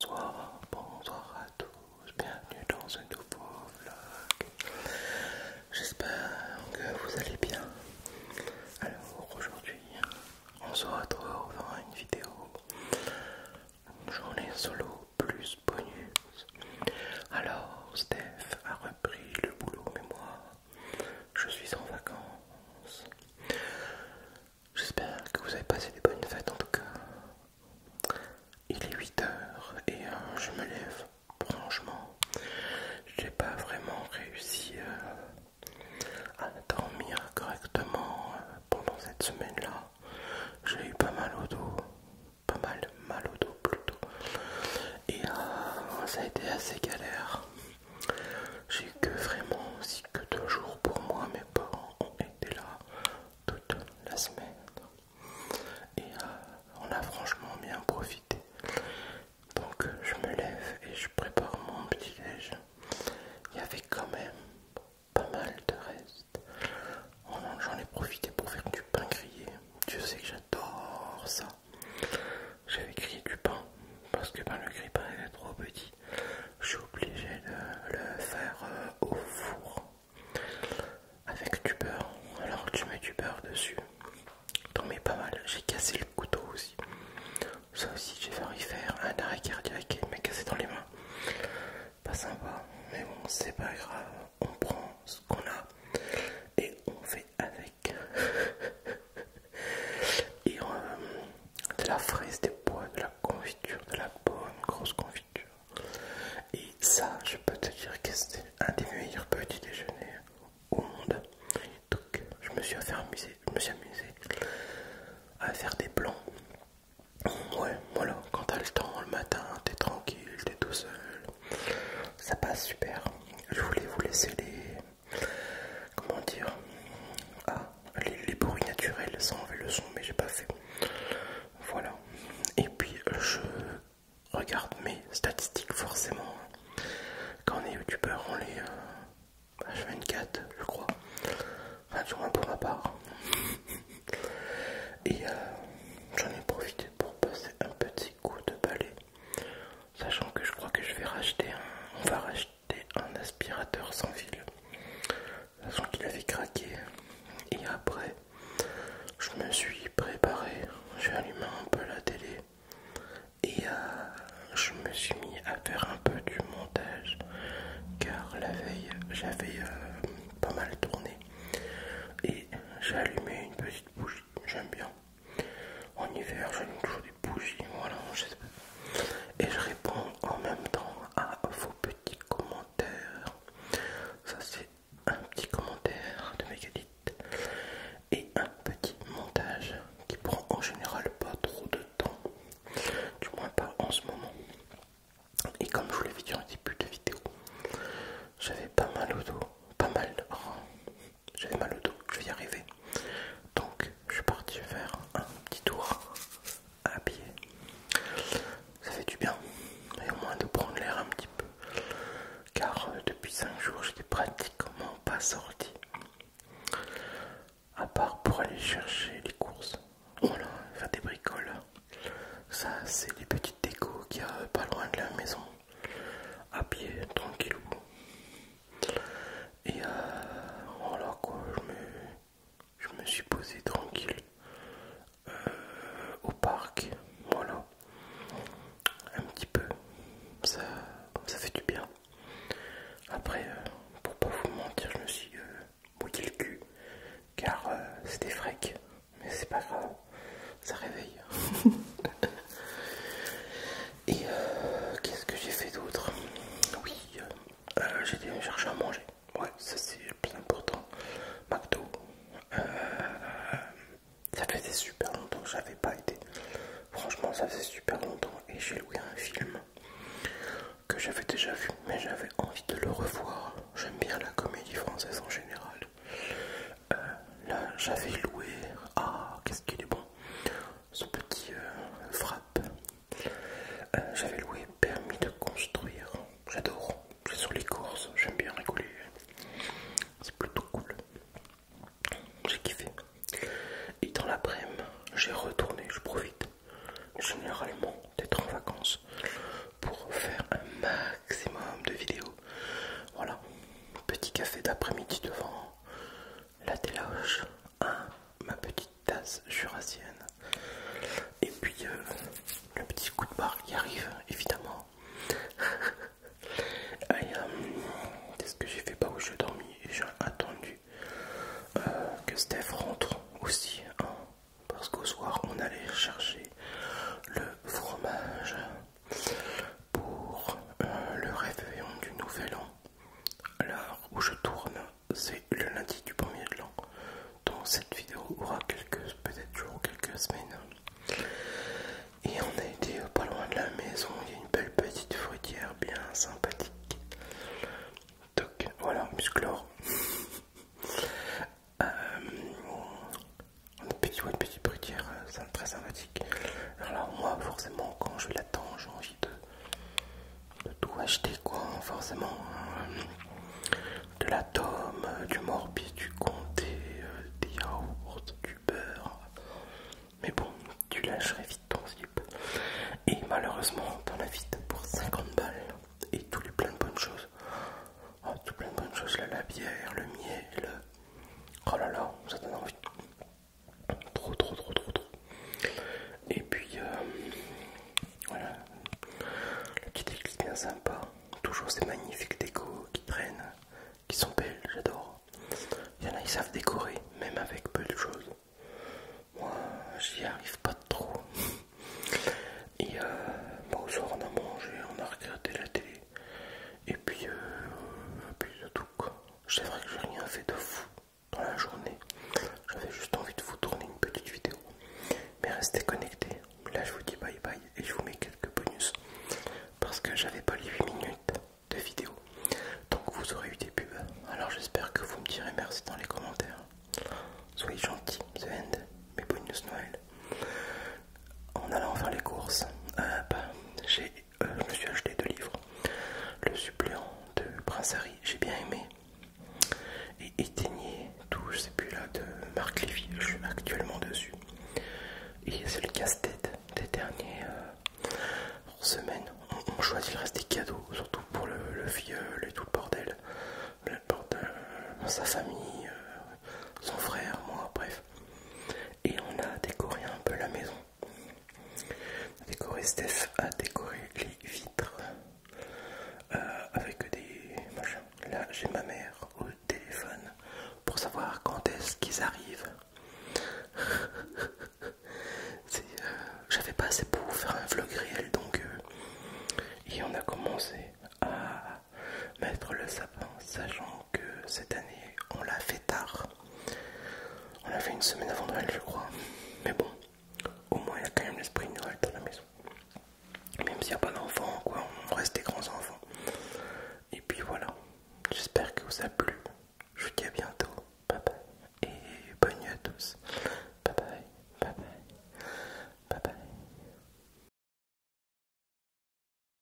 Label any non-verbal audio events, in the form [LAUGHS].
Bonsoir, bonsoir à tous, bienvenue dans ce nouveau vlog. J'espère que vous allez bien. Alors aujourd'hui, on se retrouve dans une vidéo journée solo plus bonus. Alors Steph a repris le boulot, mémoire je suis en vacances. J'espère que vous avez passé des bonnes fêtes en tout cas. Il est 8h et euh, je me lève. Franchement, j'ai pas vraiment réussi euh, à dormir correctement euh, pendant cette semaine-là. J'ai eu pas mal au dos, pas mal mal au dos plutôt. Et ça a été assez galère. J'ai que vraiment aussi que deux jours pour moi. Mes parents ont été là toute la semaine. Et euh, on a franchement bien profité. Donc euh, je me lève et je prépare mon petit déj. Il y avait quand même pas mal de reste. Oh j'en ai profité pour faire du pain grillé. Dieu sait que j'adore ça. J'avais crié du pain parce que ben, le grille est trop petit. Je suis obligé de le faire euh, au four avec du beurre. Alors tu mets du beurre dessus. T'en mets pas mal. J'ai cassé le couteau aussi. Ça aussi, j'ai failli faire un arrêt cardiaque et m'a cassé dans les mains. Pas sympa, mais bon, c'est pas grave. On prend ce qu'on a et on fait avec [LAUGHS] euh, de la fraise, des bois, de la confiture, de la bonne grosse confiture. Et ça, je peux te dire que c'était un des meilleurs petits déjeuners au monde. Donc, je me suis amusé, je me suis amusé à faire des plans. Ouais, voilà, quand t'as le temps le matin, t'es tranquille, t'es tout seul, ça passe super. Je voulais vous laisser les, comment dire ah les, bruits naturels sans enlever le son mais j'ai pas fait voilà et puis je regarde mes statistiques forcément quand on est youtubeur on les euh, H24, je crois enfin du moins pour ma part et euh, j'en ai profité pour passer un petit coup de balai Sachant que je crois que je vais racheter un, on va racheter un aspirateur sans fil. Sachant qu'il avait craqué. Et après, je me suis préparé. J'ai allumé un peu la télé. Et euh, je me suis mis à faire un peu du montage. Car la veille, j'avais euh, pas mal tourné. Et j'ai allumé une petite bougie. J'aime bien. En hiver, j'allume toujours des bougies, voilà, je sais pas. Et je réponds en même temps à vos petits commentaires. Ça, c'est un petit commentaire de Megalith et un petit montage qui prend en général pas trop de temps, du moins pas en ce moment. Et comme je vous l'ai dit le début de vidéo, j'avais pas mal d'eau, pas mal, j'avais mal au dos, je vais y arriver. Donc je suis parti faire un petit tour à pied. Ça fait du bien, et au moins de prendre l'air un petit peu. Car euh, depuis 5 jours, j'étais pratiquement pas sorti. À part pour aller chercher les courses. Voilà, oh faire des bricoles. Ça, c'est les petites décos qu'il y a pas loin de la maison à pied, tranquille, Et voilà euh, oh quoi, je me, suis posé tranquille euh, au parc, voilà, un petit peu, ça, fait du bien. Après, euh, pour pas vous mentir, je me suis le cul car c'était frais mais c'est pas grave ça réveille. [LAUGHS] Et euh, qu'est-ce que j'ai fait d'autre Oui, euh, euh, j'ai été chercher à manger. Ouais, ça c'est le plus important. McDo. ça faisait super longtemps que j'avais pas été. Franchement, ça faisait super longtemps et j'ai loué un film que j'avais déjà vu, mais j'avais envie de le revoir. J'aime bien la comédie française en général. Euh, là, j'avais loué. Ah, qu'est-ce qu'il est bon, ce petit euh, frappe. Euh, j'avais loué permis de construire. J'adore. C'est sur les courses. J'aime bien rigoler. C'est plutôt cool. J'ai kiffé. Et dans l'après-midi, j'ai retourné. Je profite généralement d'être en vacances pour faire un maximum de vidéos voilà, petit café d'après-midi devant la déloge, ma petite tasse jurassienne. Et puis euh, le petit coup de barre qui arrive, évidemment. [LAUGHS] Euh, qu'est-ce que j'ai fait pas où je dormi j'ai attendu euh, que Steph rentre aussi, hein, parce qu'au soir on allait chercher le fromage pour euh, le réveillon du nouvel an. là où je tourne, c'est le lundi du premier de l'an. Donc cette vidéo aura quelques peut-être jours, quelques semaines. Et on a été pas loin de la maison, il y a une belle petite fruitière bien sympathique. Donc voilà, musclore. [LAUGHS] Euh, une petite, une petite ça très sympathique. Alors moi, forcément, quand je l'attends, j'ai envie de, tout acheter, quoi, forcément. Hein. de la tome, euh, du morbi, du comté, euh, des yaourts, du beurre. Mais bon, tu lâcherais vite ton zip. Et malheureusement, t'en as vite pour 50 balles. Et tous les plein de bonnes choses. tout plein de bonnes choses, ah, là, la bière, le miel. Oh là là, ça donne envie. Trop, trop, trop, trop, trop. Et puis, euh, voilà. La petite est bien sympa. Toujours ces magnifiques décos qui traînent, qui sont belles, j'adore. Il y en a, ils savent décorer, même avec peu de choses. Moi, j'y arrive pas trop. Et euh, au soir, on a mangé, on a regardé la télé. Et puis, euh, puis c'est tout vrai que j'ai rien fait de fou dans la journée. J'avais juste envie de vous tourner une petite vidéo. Mais restez connectés. Là je vous dis bye bye et je vous mets quelques bonus. Parce que j'avais pas les 8 minutes de vidéo. Donc vous aurez eu des pubs. Alors j'espère que vous me direz merci dans les commentaires. Soyez gentils, The End, mes bonus Noël. En allant faire les courses, j'ai euh, je me suis acheté deux livres. Le suppléant de Prince Harry, j'ai bien aimé. Et éteigné, tout, je sais plus là, de Marc Lévy, je suis actuellement dessus. Et c'est le casse-tête des dernières euh, semaines. On, choisit reste des cadeaux, surtout pour le, le et tout le bordel. Euh, sa famille, son frère, moi, bref et on a décoré un peu la maison. Décoré Steph a décoré les vitres euh, avec des machins. Là j'ai ma mère au téléphone pour savoir quand est-ce qu'ils arrivent. [LAUGHS] Euh, j'avais pas assez pour faire un vlog réel donc euh, et on a commencé à mettre le sapin, sachant que cette année on l'a fait tard. On l'a fait une semaine avant Noël, je crois. Mais bon, au moins il y a quand même l'esprit Noël dans la maison. Même s'il n'y a pas d'enfants, quoi, on reste des grands enfants. Et puis voilà, j'espère que vous a plu. Je vous dis à bientôt. Bye bye. Et bonne nuit à tous. Bye bye. Bye bye. Bye bye.